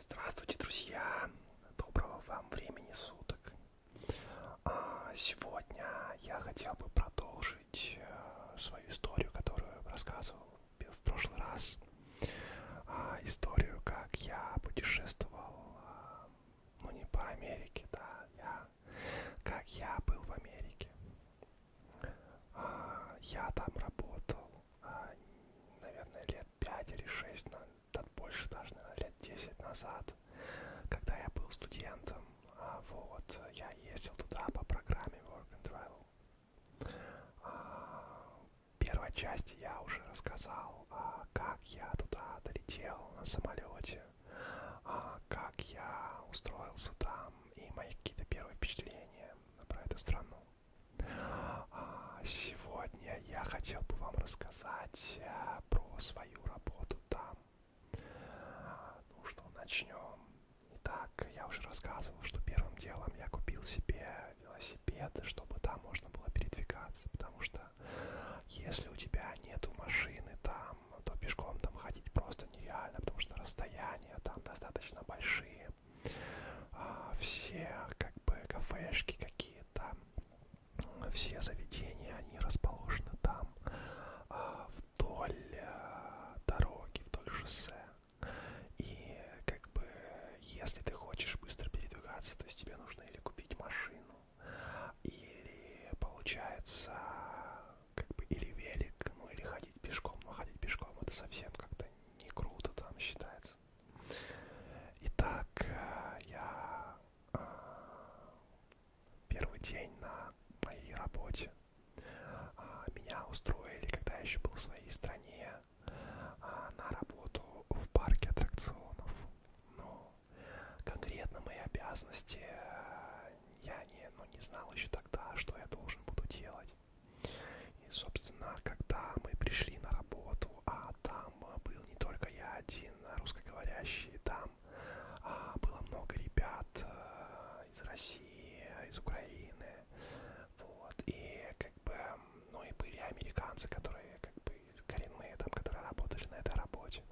Здравствуйте, друзья! Доброго вам времени суток! А, сегодня я хотел бы продолжить э, свою историю, которую рассказывал в прошлый раз. А, историю, как я путешествовал, э, ну не по Америке, да, я, как я был в Америке. А, я там работал, а, наверное, лет 5 или 6, да больше даже, наверное, лет 10 назад, когда я был студентом. А, вот, я ездил туда по программе Work and Travel. Первой части я уже рассказал, как я туда долетел на самолете, как я устроился там, и мои какие-то первые впечатления про эту страну. А, сегодня я хотел бы вам рассказать э, про свою работу там. Ну что, начнем. Итак, я уже рассказывал, что первым делом я купил себе велосипед, чтобы там можно было передвигаться, потому что если у тебя нету машины там, там, ну, то пешком там ходить просто нереально, потому что расстояния там достаточно большие. А, все как бы кафешки какие-то, все заведения, они расположены там а, вдоль а, дороги, вдоль шоссе. И как бы если ты хочешь быстро передвигаться, то есть тебе нужно или купить машину, или получается как бы или велик, ну или ходить пешком, но ходить пешком это совсем как-то не круто там считается. Итак, э, я а, первый день на моей работе а, меня устроили, когда я еще был в своей стране, а, на работу в парке аттракционов. Но конкретно мои обязанности э, я не, ну, не знал еще тогда, что я должен буду делать. И, собственно, когда мы пришли на работу, а там был не только я один русскоговорящий, там а, было много ребят а, из России, из Украины, вот, и как бы, ну и были американцы, которые как бы коренные там, которые работали на этой работе.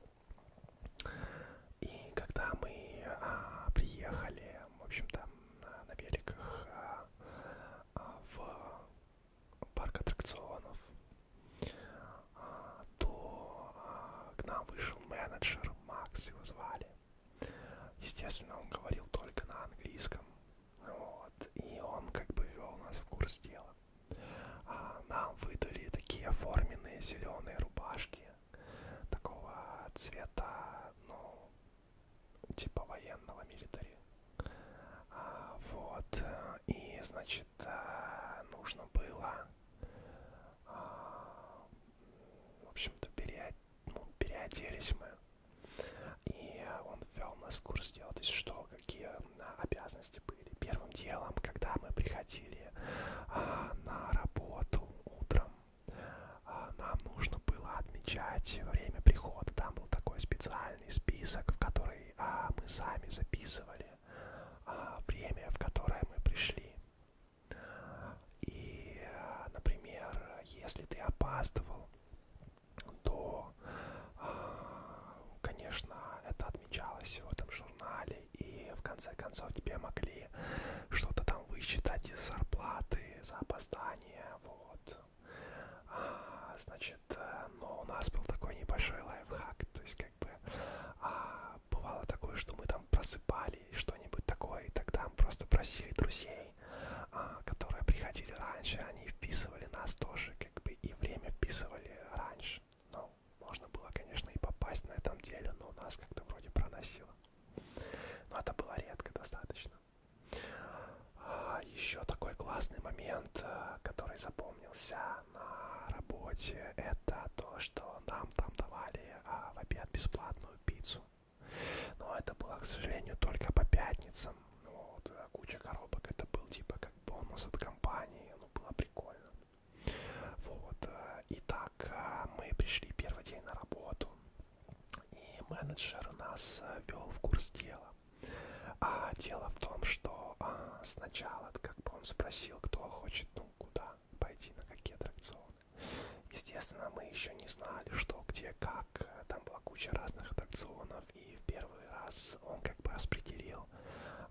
И когда мы а, приехали в общем-то, на, на великах а, а, в парк аттракционов, а, то а, к нам вышел менеджер, Макс его звали. Естественно, он говорил только на английском, вот, и он как бы вел нас в курс дела. А, нам выдали такие оформленные зеленые рубашки такого цвета, ну, типа военного милитари. А, вот, э, и, значит, э, нужно было, а, в общем-то, переоделись, ну, переоделись мы. И он ввел нас в курс дела, то есть что, какие а, обязанности были. Первым делом, когда мы приходили а, на работу утром, а, нам нужно было отмечать время прихода. Там был такой специальный список, в который а, мы сами записывали а, время, в которое мы пришли. И, а, например, если ты опаздывал, то, а, конечно, это отмечалось в этом журнале, и в конце концов тебе могли или что-то там высчитать из зарплаты за опоздание, вот. А, значит, э, но у нас был такой небольшой лайфхак, то есть как бы а, бывало такое, что мы там просыпали и что-нибудь такое, и тогда мы просто просили друзей, а, которые приходили раньше, они вписывали нас тоже, как бы и время вписывали раньше. Ну, можно было, конечно, и попасть на этом деле, но у нас как-то вроде проносило. Но это было редко достаточно. А еще такой классный момент, э, который запомнился на работе, это то, что нам там давали а, в обед бесплатную пиццу. Но это было, к сожалению, только по пятницам. Вот, э, куча коробок, это был типа как бонус от компании, ну было прикольно. Вот, э, и так мы пришли первый день на работу. И менеджер нас э, вел в курс дела. А дело в том, что а, сначала как бы он спросил, кто хочет, ну, куда пойти, на какие аттракционы. Естественно, мы еще не знали, что, где, как. Там была куча разных аттракционов, и в первый раз он как бы распределил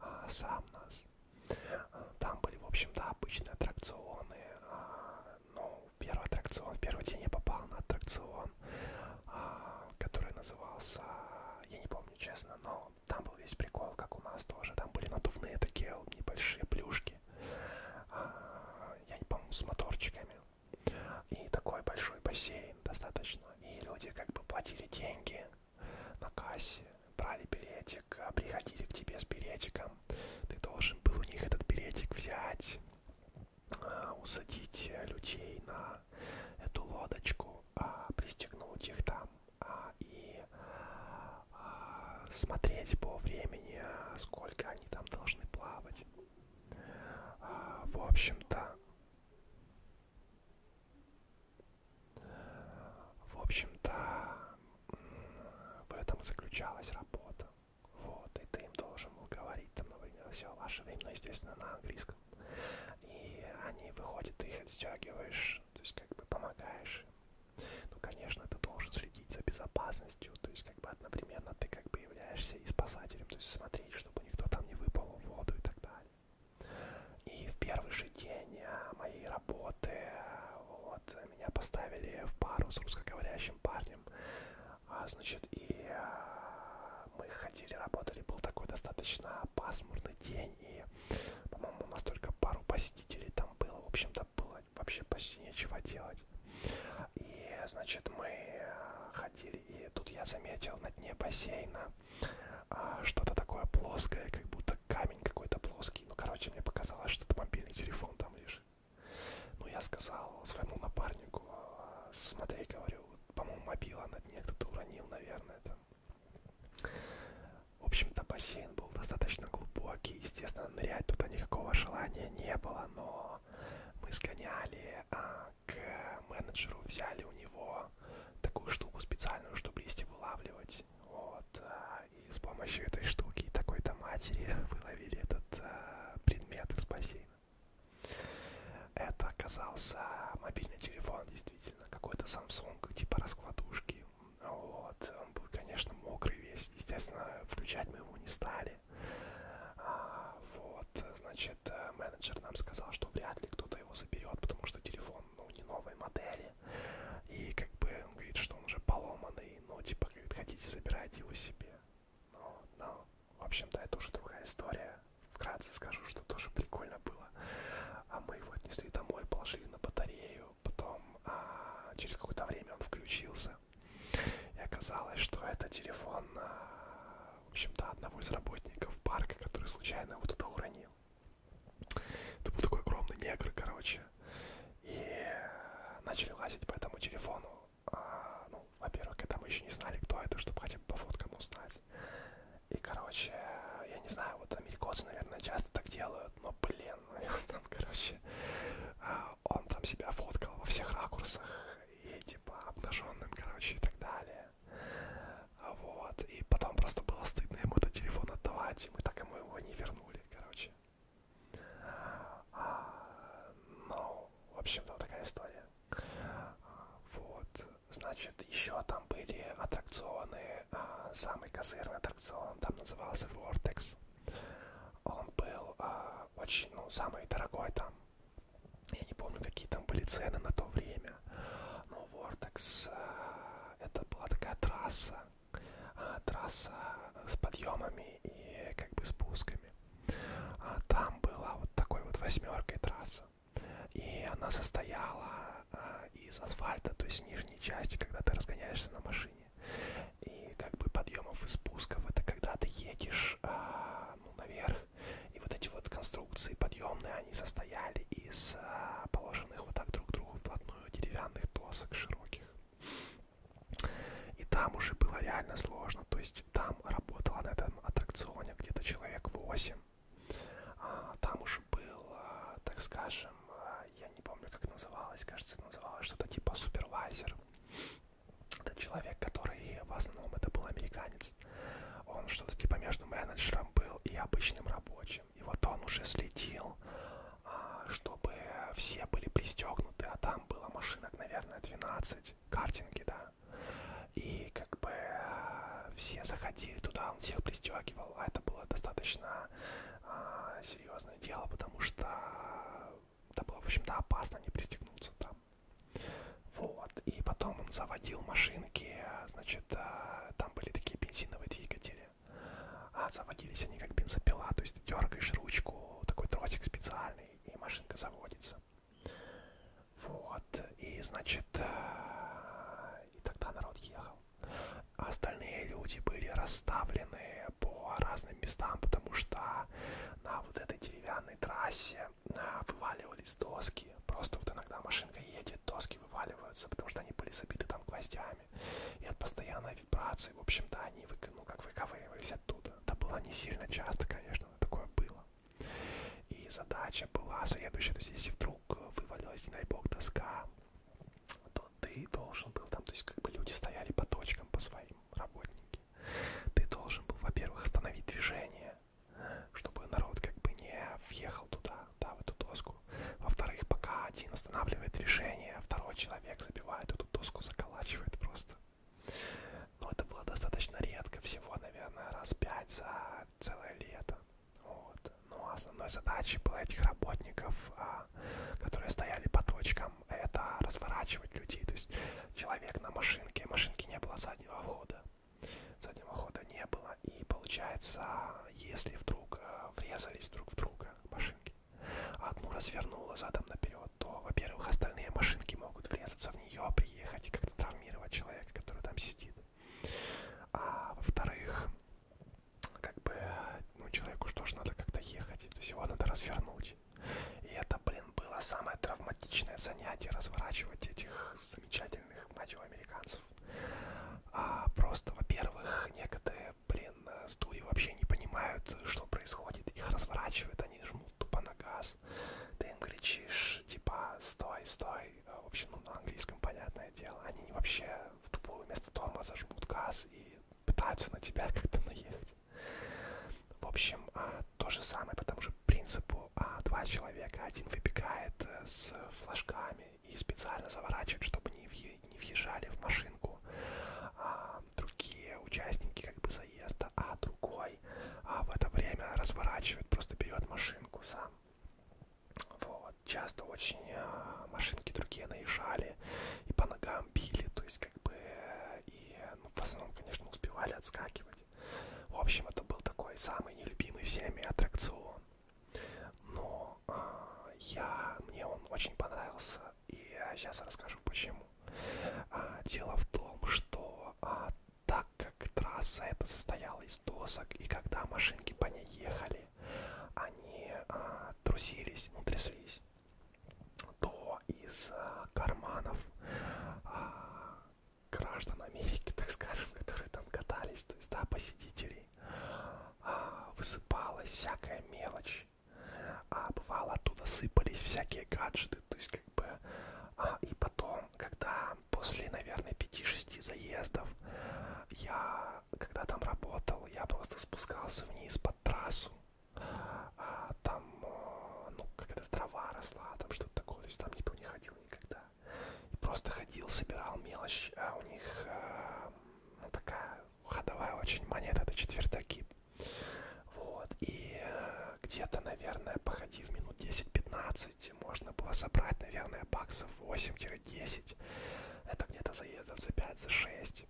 а, сам нас. Э, там были, в общем-то, обычные аттракционы, а, ну, первый аттракцион, в первый день я попал на аттракцион, а, который назывался, я не помню честно, но там был весь прикол, как у нас тоже, там были надувные такие небольшие плюшки, а, я не помню, с моторчиками, и такой большой бассейн достаточно, и люди как бы платили деньги на кассе, брали билетик, а приходили к тебе с билетиком, ты должен был у них этот билетик взять, а, усадить э, людей на эту лодочку, а, пристегнуть их там а, и смотреть по времени, сколько они там должны плавать. В общем-то, в общем-то, в этом заключалась работа. Вот, и ты им должен был говорить там, например, все ваше время, ну, естественно, на английском. И они выходят, ты их отстегиваешь, то есть как бы помогаешь им. Ну, конечно, ты должен следить за безопасностью, то есть как бы одновременно ты как бы являешься и спасателем, то есть смотреть, чтобы никто там не выпал в воду и так далее. И в первый же день а, моей работы, а, вот, меня поставили в пару с русскоговорящим парнем. А, значит, и а, мы ходили, работали, был такой достаточно пасмурный день, и, по-моему, у нас только пару посетителей там было, в общем-то, было вообще почти нечего делать. И, значит, мы а, ходили, и тут я заметил на дне бассейна а, что-то такое плоское, как будто камень какой-то плоский. Ну, короче, мне показалось, что это мобильный телефон там лежит. Ну, я сказал своему напарнику, «А, смотри, говорю, по-моему, мобила на дне кто-то уронил, наверное, там. В общем-то, бассейн был достаточно глубокий, естественно, нырять туда никакого желания не было, но мы сгоняли а, к менеджеру, взяли у него такую штуку специальную, чтобы листья вылавливать, вот, а, и с помощью этой штуки и такой-то матери выловили этот э, предмет из бассейна. Это оказался мобильный телефон, действительно, какой-то Samsung, типа раскладушки. Вот. Он был, конечно, мокрый весь, естественно, включать мы его не стали. А, вот, значит, э, менеджер нам сказал, что вряд ли кто-то его заберет, потому что телефон, ну, не новой модели. И как бы он говорит, что он уже поломанный, и, ну, типа, говорит, хотите, забирайте его себе. Ну, ну, в общем-то, это уже другая история. Вкратце скажу, что тоже прикольно было. А мы его отнесли домой, положили на батарею, потом а, через какое-то время он включился. И оказалось, что это телефон, а, в общем-то, одного из работников парка, который случайно его туда уронил. Это был такой огромный негр, короче, короче. И начали лазить по этому телефону. А, ну, во-первых, когда мы еще не знали, кто это, чтобы хотя бы по фоткам узнать. И, короче, я не знаю, вот американцы, наверное, часто так делают, но, блин, там, короче, а, он там себя фоткал во всех ракурсах и, типа, обнаженным, короче, и так далее. Вот, и потом просто было стыдно ему этот телефон отдавать, и мы так ему его не вернули, короче. А, ну, в общем-то, такая история. А, вот, значит, еще там были аттракционы, а, самый козырный аттракцион, там назывался Vortex. Он был а, очень, ну, самый дорогой там. Я не помню, какие там были цены на то время. Но Vortex а, это была такая трасса, а, трасса с подъемами и как бы спусками. А, там была вот такой вот восьмеркой трасса. И она состояла а, из асфальта, то есть нижней части, когда ты разгоняешься на машине. И как бы подъемов и спусков это когда ты едешь а, ну, наверх. И вот эти вот конструкции подъемные, они состояли из а, положенных вот так друг к другу вплотную деревянных досок широких. И там уже было реально сложно. То есть там работала на этом аттракционе где-то человек 8. А, там уже был, так скажем, а, я не помню, как называлось, кажется, называлось что-то типа супервайзер. Это человек, который в основном это был американец. Он что-то типа между менеджером был и обычным рабочим. И вот он уже следил а, чтобы все были пристегнуты, а там было машинок, наверное, 12, картинги, да. И как бы а, все заходили туда, он всех пристегивал, а это было достаточно а, серьезное дело, потому что это а, было, в общем-то, опасно не пристегнуться там. Вот, и потом он заводил машинки, значит, там были такие бензиновые двигатели, а заводились они как бензопила, то есть ты дергаешь ручку, такой тросик специальный, и машинка заводится. Вот, и значит, э, и тогда народ ехал. А остальные люди были расставлены по разным местам, потому что на вот этой деревянной трассе э, вываливались доски. Просто вот иногда машинка едет, доски вываливаются, потому что они были забиты там гвоздями. И от постоянного вибрации, в общем-то, они вы, ну, как выковыривались оттуда. Это было не сильно часто, конечно, но такое было. И задача была следующая, то есть если вдруг вывалилась, не дай бог, доска, то ты должен был там, то есть как бы люди стояли по точкам, по своим работники. Ты должен был, во-первых, остановить движение, чтобы народ как бы не въехал туда, да, в эту доску. Во-вторых, пока один останавливает движение, а второй человек забивает эту доску, заколачивает просто. Но это было достаточно редко, всего, наверное, раз пять за целое лето. Вот. Но ну, а основной задачей было этих работников, а, которые стояли по точкам, это разворачивать людей. То есть человек на машинке, машинки не было заднего хода. Заднего хода не было. И получается, если вдруг э, врезались друг в друга машинки, одну развернула задом наперед, то, во-первых, остальные машинки могут врезаться в нее, приехать и как-то травмировать человека, который там сидит. А во-вторых, как бы, ну, человеку что же надо как-то ехать, то есть его надо развернуть. И это, блин, было самое травматичное занятие разворачивать этих замечательных мать его, американцев. А просто, во-первых, некоторые блин, э, студии вообще не понимают, что происходит. Их разворачивают, они жмут тупо на газ. Ты им кричишь, типа, стой, стой. А, в общем, ну, на английском, понятное дело. Они вообще в тупую вместо тормоза жмут газ и пытаются на тебя как-то наехать. В общем, а, то же самое по тому же принципу. А, два человека, один выбегает э, с флажками и специально заворачивает, чтобы не въезжали в машинку другие участники как бы заезда, а другой а в это время разворачивает, просто берет машинку сам. Вот. Часто очень а, машинки другие наезжали и по ногам били, то есть как бы и ну, в основном, конечно, успевали отскакивать. В общем, это был такой самый нелюбимый всеми аттракцион. Но а, я, мне он очень понравился и сейчас расскажу почему. А, дело в том, что а, так как трасса это состояла из досок, и когда машинки по ней ехали, они а, трусились, ну тряслись, то из карманов граждан Америки, так скажем, которые там катались, то есть, да, посетителей, высыпалась всякая мелочь вещь. А бывало, оттуда сыпались всякие гаджеты, то есть как бы... А, и потом, когда после, наверное, 5-6 заездов, я, когда там работал, я просто спускался вниз под трассу, а, там, э, ну, какая-то трава росла, там что-то такое, то есть там никто не ходил никогда. И просто ходил, собирал мелочь, а у них а, ну, такая ходовая очень монета, это четвертаки. Вот, и э, где-то, наверное, походив минут 10-15, можно было собрать, наверное, баксов 8-10. Это где-то заездов за 5-6. За 6.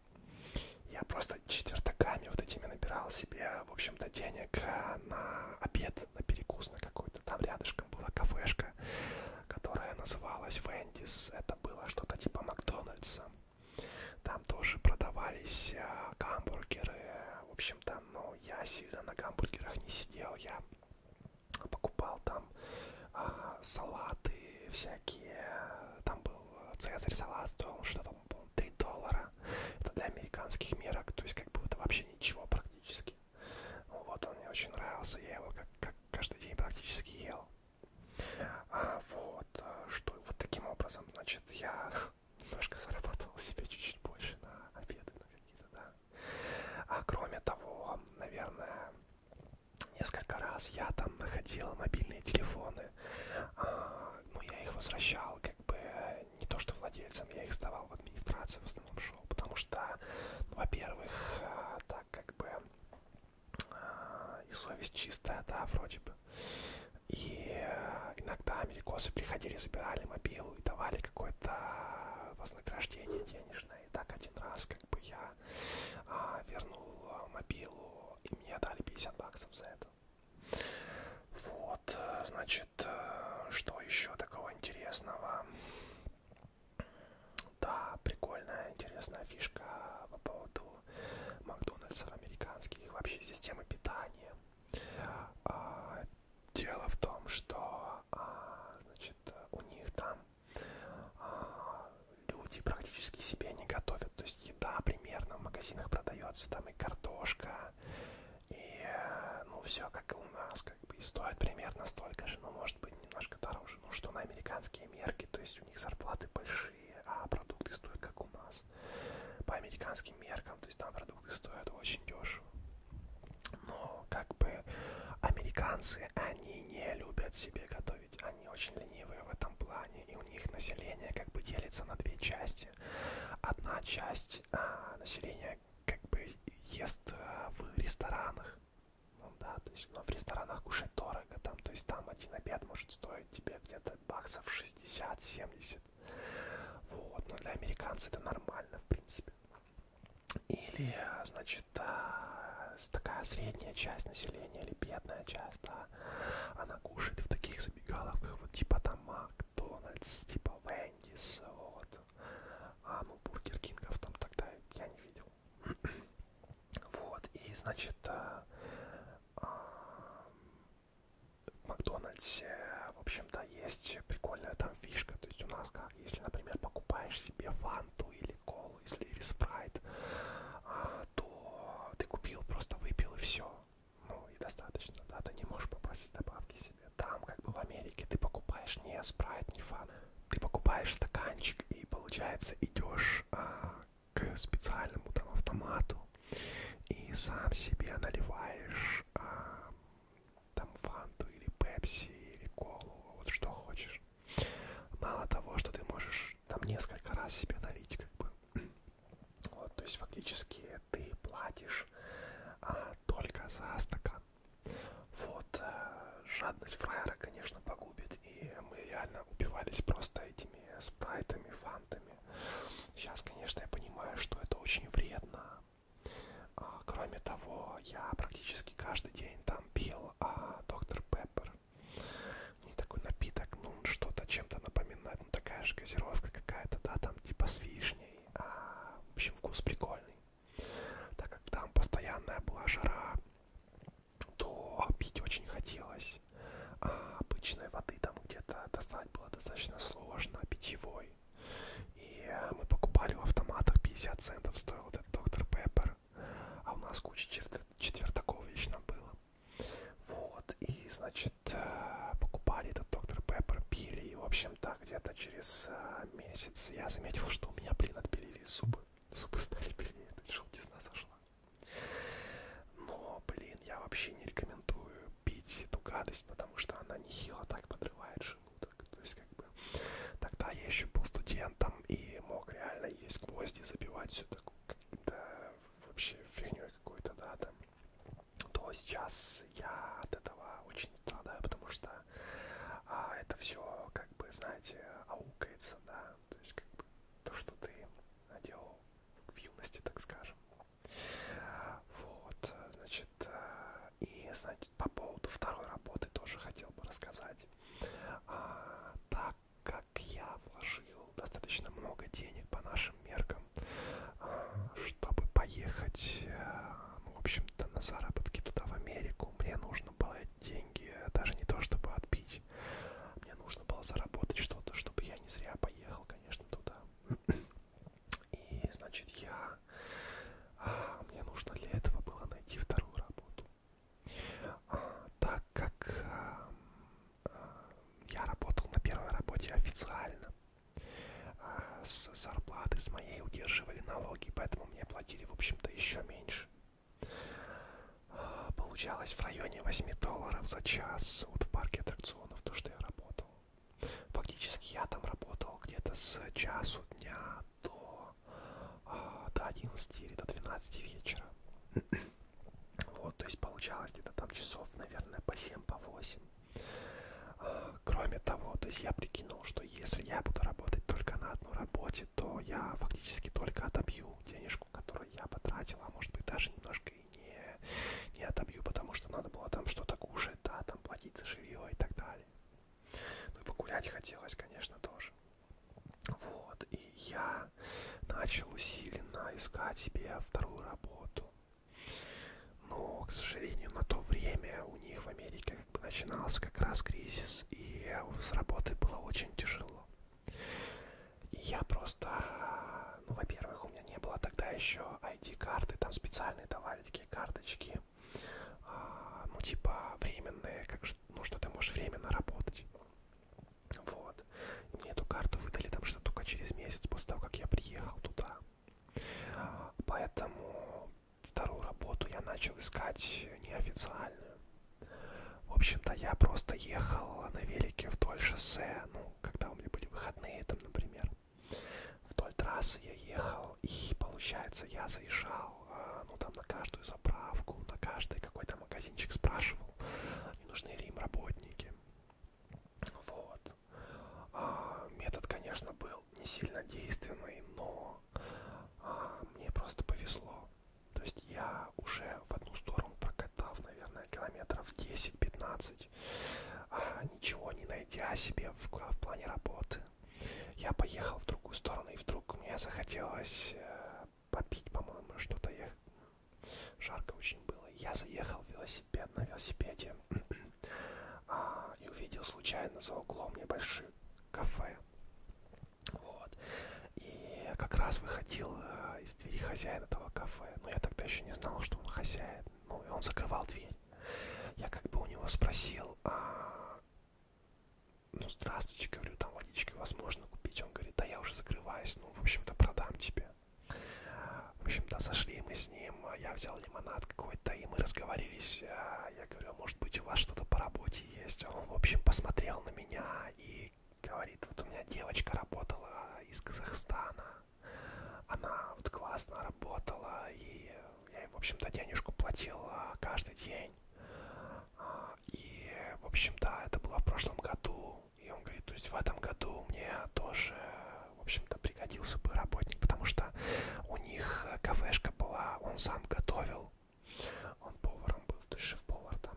Я просто четвертаками вот этими набирал себе, в общем-то, денег э, на обед, на перекус на какой-то. Там рядышком была кафешка, которая называлась Вендис. Это было что-то типа Макдональдса. Там тоже продавались а, гамбургеры. В общем-то, ну, я сильно на гамбургерах не сидел. Я покупал там а, салаты всякие. Там был цезарь салат, то он что-то, по 3 доллара. Это для американских мерок, то есть как бы это вообще ничего практически. Вот он мне очень нравился, я его как, как каждый день практически ел. А, вот, а, что вот таким образом, значит, я немножко зарабатывал себе чуть-чуть больше на обеды, на какие-то, да. А кроме того, наверное, несколько раз я там находил мобильные телефоны, а, ну, я их возвращал, как бы, не то что владельцам, я их сдавал в администрацию в основном шоу, потому что, ну, во-первых, а, так как бы а, и совесть чистая, да, вроде бы типа. И э, иногда америкосы приходили, забирали мобилу и давали какое-то вознаграждение денежное. И так один раз как бы я а, вернул э, мобилу, и мне дали 50 баксов за это. Вот, э, значит, что еще такого интересного? Да, прикольная, интересная фишка по поводу Макдональдсов американских, вообще системы питания. А, дело в том, что а, значит, у них там а, люди практически себе не готовят. То есть еда примерно в магазинах продается, там и картошка, и ну все как и у нас, как бы и стоит примерно столько же, но ну, может быть немножко дороже. Ну что на американские мерки, то есть у них зарплаты большие дешевые, а продукты стоят как у нас. По американским меркам, то есть там продукты стоят очень дешево. Но как бы американцы, они не любят себе готовить, они очень ленивые в этом плане, и у них население как бы делится на две части. Одна часть а, населения как бы ест а, в ресторанах, ну да, то есть, но в ресторанах кушать дорого, там, то есть там один обед может стоить тебе где-то баксов 60-70. Вот, но для американца это нормально, в принципе. Или, значит, а, такая средняя часть населения или бедная часть, да, она кушает в таких забегаловках, вот типа там Макдональдс, типа Вендис, вот. А, ну, Бургер Кингов там тогда я не видел. вот, и, значит, а, а, в Макдональдсе, в общем-то, есть прикольная там фишка. То есть у нас как, если, например, покупаешь себе фанту или колу, если или спрайт, а, то ты купил, просто выпил и все. Ну и достаточно, да, ты не можешь попросить добавки себе. Там, как бы в Америке, ты покупаешь не спрайт, не фан, ты покупаешь стаканчик и, получается, идешь а, к специальному там автомату и сам себе наливаешь а, там фанту или пепси или колу, вот что хочешь. Мало того, что ты можешь там несколько раз себе налить, как бы. Вот, то есть фактически ты платишь а, только за стакан. Вот, а, жадность фраера, конечно, погубит, и мы реально убивались просто этими спрайтами, фантами вариантами. Сейчас, конечно, я понимаю, что это очень вредно. А, кроме того, я практически каждый день там пил а, доктор Пеппер. Не такой напиток, ну что-то чем-то напоминает, ну такая же газировка какая-то, да, там типа с вишней. А, в общем, вкус прикольный. Так как там постоянная была жара, то пить очень хотелось а обычной воды там где-то достать было достаточно сложно, питьевой. И э, мы покупали в автоматах 50 центов стоил этот доктор Пеппер, а у нас куча четвертаков вечно было. Вот, и, значит, э, покупали этот доктор Пеппер, пили, и, в общем-то, где-то через э, месяц я заметил, что у меня, блин, отпилили зубы. Зубы стали пилить, тут желтизна сошла. Но, блин, я вообще не рекомендую пить эту гадость, потому что она нехило так подрывает желудок. То есть, как бы, тогда я еще был студентом и мог реально есть гвозди, забивать все такое, да, вообще фигней какой-то, да, там. То сейчас я от этого очень страдаю, потому что а, это все, как бы, знаете, аукается, да, то есть, как бы, то, что ты делал в юности, так скажем, вот, значит, э, и, значит, по поводу второй работы тоже хотел бы рассказать. А, так как я вложил достаточно много денег по нашим меркам, а, чтобы поехать, ну, в общем-то, на заработки туда, в Америку, мне нужно было деньги, э, даже не то, чтобы отбить, мне нужно было заработать что-то, чтобы я не зря поехал конечно, туда. И, значит, я... А, мне нужно для этого было найти вторую работу. А, так как а, а, я работал на первой работе официально, а, с зарплаты с моей удерживали налоги, поэтому мне платили, в общем-то, еще меньше. А, получалось в районе 8 долларов за час вот в парке аттракционов сезонов, то, что я работал. Фактически я там работал где-то с часу дня до, а, до 11 или до 12 вечера. Вот, то есть получалось где-то там часов, наверное, по 7, по 8. А, кроме того, то есть я прикинул, что если я буду работать только на одной работе, то я фактически только отобью денежку, которую я потратил, а может быть даже немножко и не, не отобью, потому что надо было там что-то кушать, да, там платить за жилье и так далее. Ну и погулять хотелось, конечно, тоже. Вот, и я начал усиленно искать себе вторую работу. Но, к сожалению, на то время у них в Америке как бы начинался как раз кризис, и с работой было очень тяжело. И я просто, ну, во-первых, у меня не было тогда еще ID-карты, там специальные давали такие карточки, а, ну, типа, временные, как, ну, что ты можешь временно работать. Вот. И мне эту карту выдали там что-то только через месяц после того, как я приехал туда. Поэтому вторую работу я начал искать неофициальную. В общем-то, я просто ехал на велике вдоль шоссе я, ну, когда у меня были выходные там, например, вдоль трассы я ехал, и, получается, я заезжал, а, ну, там, на каждую заправку, на каждый какой-то магазинчик спрашивал, не нужны ли им работники. Вот. А, метод, конечно, был не сильно действенный, но а, мне просто повезло. То есть я уже в одну сторону прокатав, наверное, километров 10-15, делать. А, ничего не найдя себе в, в плане работы, я поехал в другую сторону, и вдруг мне захотелось э, попить, по-моему, что-то я... Жарко очень было. Я заехал в велосипед на велосипеде а, и увидел случайно за углом небольшое кафе. Вот. И как раз выходил э, из из двери хозяин этого кафе. Но я тогда еще не знал, что он хозяин. Ну, и он закрывал дверь. Я как бы у него спросил, а... ну, здравствуйте, говорю, там водички возможно купить. Он говорит, да я уже закрываюсь, ну, в общем-то, продам тебе. В общем-то, сошли мы с ним, а я взял лимонад какой-то, и мы разговорились. А, я говорю, «А может быть, у вас что-то по работе есть? Он, в общем, посмотрел на меня и говорит, вот у меня девочка работала из Казахстана, она вот классно работала, и я ей, в общем-то, денежку платил а, каждый день. А, и, в общем-то, это было в прошлом году. И он говорит, то есть в этом году мне тоже, в общем-то, пригодился бы работник, потому что у них кафешка была, он сам готовил, он поваром был, то есть шеф-повар там.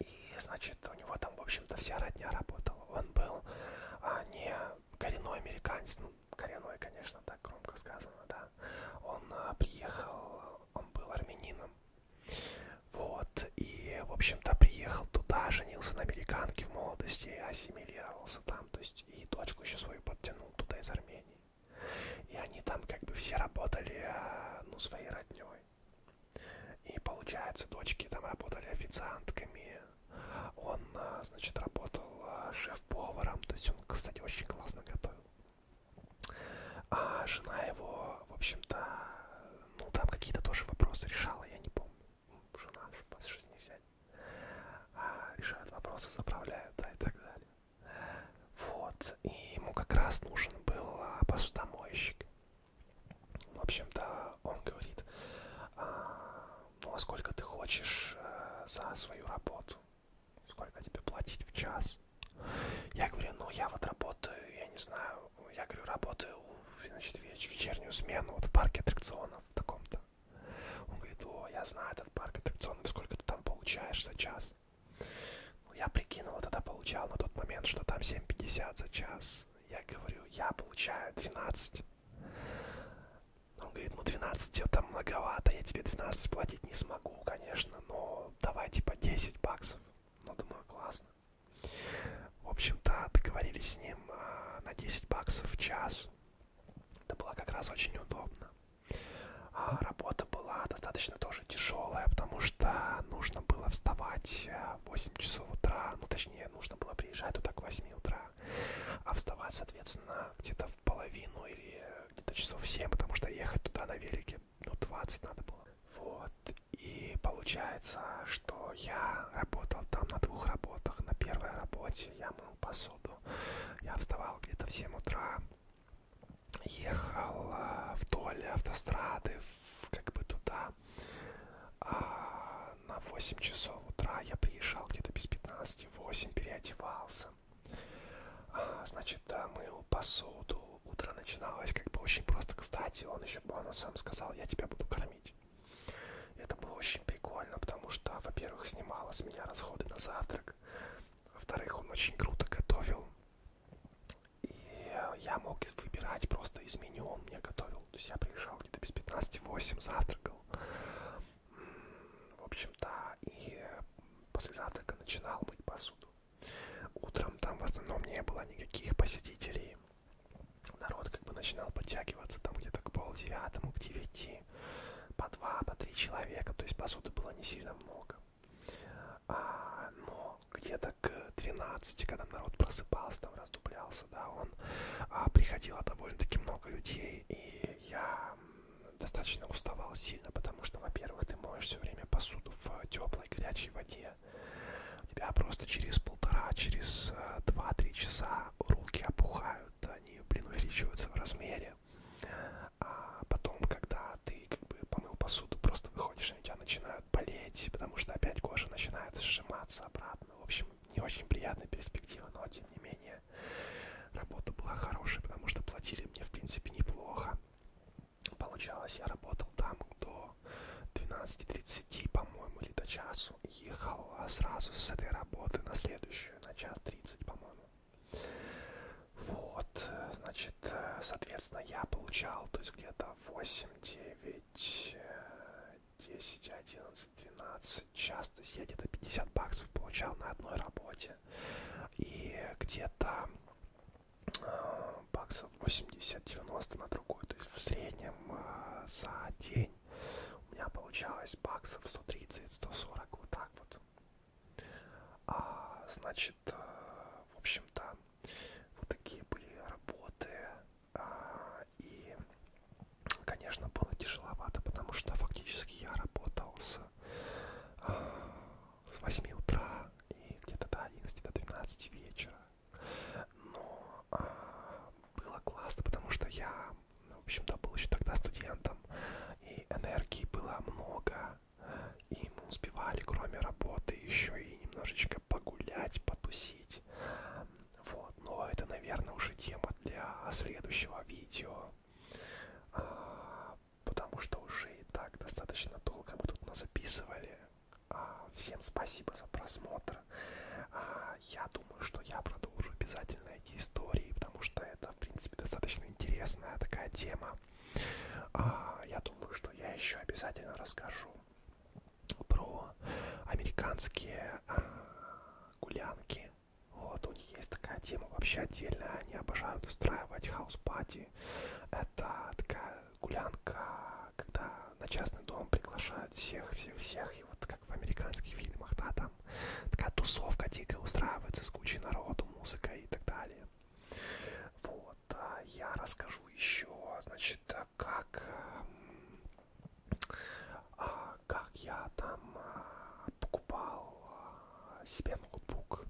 И, значит, у него там, в общем-то, вся родня работала. Он был а, не коренной американец, ну, коренной, конечно, так громко сказано, да. Он а, приехал, он был армянином. Вот, и, в общем-то, приехал туда, женился на американке в молодости, ассимилировался там, то есть, и дочку еще свою подтянул туда из Армении. И они там как бы все работали, а, ну, своей родней. И получается, дочки там работали официантками, он, а, значит, работал а, шеф-поваром, то есть он, кстати, очень классно готовил. А жена его, в общем-то, ну там какие-то тоже вопросы решала, я не помню. Жена, по жизни взять. А, решают вопросы, заправляют, да, и так далее. Вот, и ему как раз нужен был а, посудомойщик. В общем-то, он говорит, «А, ну а сколько ты хочешь э, за свою работу? Сколько тебе платить в час? Я говорю, ну я вот работаю, я не знаю, я говорю, работаю, значит, веч вечернюю смену вот в парке аттракционов в таком-то. Он говорит, о, я знаю этот парк аттракционов, сколько ты там получаешь за час? Ну, я прикинул, тогда получал на тот момент, что там 7.50 за час. Я говорю, я получаю 12. Он говорит, ну 12 это многовато, я тебе 12 платить не смогу, конечно, но давай типа 10 баксов. Ну, думаю, классно. В общем-то, договорились с ним а, на 10 баксов в час. Это было как раз очень удобно. А работа была достаточно тоже тяжелая, потому что нужно было вставать э, 8 часов утра, ну точнее нужно было приезжать туда к 8 утра, а вставать, соответственно, где-то в половину или где-то часов 7, потому что ехать туда на велике, ну 20 надо было. Вот, и получается, что я работал там на двух работах. На первой работе я мыл посуду, я вставал где-то в 7 утра, ехал э, вдоль автострады, в, как бы туда, утра. А на 8 часов утра я приезжал где-то без 15-8, переодевался. А, значит, да, мыл посуду. Утро начиналось как бы очень просто. Кстати, он еще бонусом сказал, я тебя буду кормить. Это было очень прикольно, потому что, во-первых, снимала с меня расходы на завтрак. Во-вторых, он очень круто готовил. И я мог выбирать просто из меню. Он мне готовил завтракал. То есть я приезжал где-то без 15-8, завтракал. В общем-то, и после завтрака начинал мыть посуду. Утром там в основном не было никаких посетителей. Народ как бы начинал подтягиваться там где-то к полдевятому, к девяти, по два, по три человека. То есть посуды было не сильно много. А, но где-то к 12, когда народ просыпался, там раздублялся, да, он а, приходило довольно-таки много людей, и я достаточно уставал сильно, потому что, во-первых, ты моешь все время посуду в э, теплой горячей воде, у тебя просто через полтора, через э, два-три часа руки опухают, они, блин, увеличиваются в размере, а потом, когда ты как бы помыл посуду, просто выходишь, и у тебя начинают начинают болеть, потому что опять кожа начинает сжиматься обратно. В общем, не очень приятная перспектива, но тем не менее работа была хорошей, потому что платили мне в принципе неплохо. Получалось, я работал там до 12.30, по-моему, или до часу. Ехал а сразу с этой работы на следующую, на час 30, по-моему. Вот, значит, э, соответственно, я получал, то есть где-то 8, 9, 10, 11, 12 час. То есть я где-то 50 баксов получал на одной работе. И где-то э, баксов 80-90 на другую. То есть в среднем э, за день у меня получалось баксов 130-140. Вот так вот. А, значит, э, в общем-то, вот такие были работы. А, и, конечно, было тяжеловато, потому что фактически я работал с, а, с 8 утра и где-то до 11, до 12 вечера. Но а, было классно, потому что я, ну, в общем-то, был еще тогда студентом, и энергии было много, и мы успевали, кроме работы, еще и немножечко погулять, потусить. Вот, но это, наверное, уже тема для следующего видео. А, потому что уже и так достаточно долго мы тут записывали. А, всем спасибо за просмотр. А, я думаю, что я продолжу обязательно эти истории, потому что это, в принципе, достаточно интересная такая тема. А, я думаю, что я еще обязательно расскажу про американские э, гулянки. Вот, у них есть такая тема вообще отдельная. Они обожают устраивать хаус-пати. Это такая гулянка, когда на частный дом приглашают всех-всех-всех. И вот как в американских фильмах, да, там такая тусовка дикая устраивается с кучей народу, музыкой и так далее. Вот, а я расскажу еще, значит, как а, как я там а, покупал а, себе ноутбук.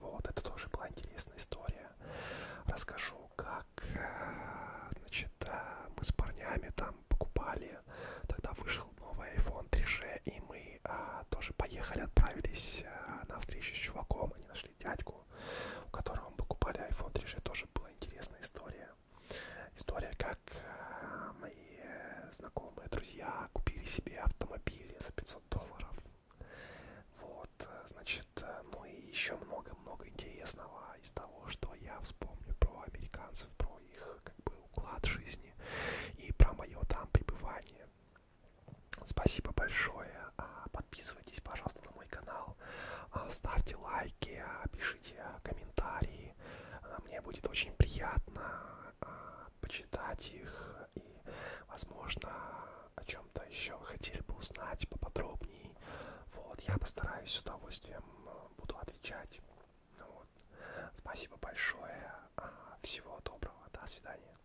Вот, это тоже была интересная история. Расскажу, как, а, значит, а, мы с парнями там покупали. Тогда вышел новый iPhone 3G, и мы а, тоже поехали, отправились а, на встречу с чуваком. Они нашли дядьку, у которого мы покупали iPhone 3G. Тоже была интересная история. История, как э, мои знакомые, друзья купили себе автомобили за 500 долларов. Вот, э, значит, э, ну и еще много-много интересного из того, что я вспомню про американцев, про их как бы уклад жизни и про мое там пребывание. Спасибо большое. А подписывайтесь подписывайтесь, пожалуйста, на мой канал, а, ставьте лайки, а, пишите а, комментарии. Мне будет очень приятно почитать их и, возможно, о чем-то еще хотели бы узнать поподробнее. Вот, я постараюсь с удовольствием буду отвечать. Вот. Спасибо большое. Всего доброго. До свидания.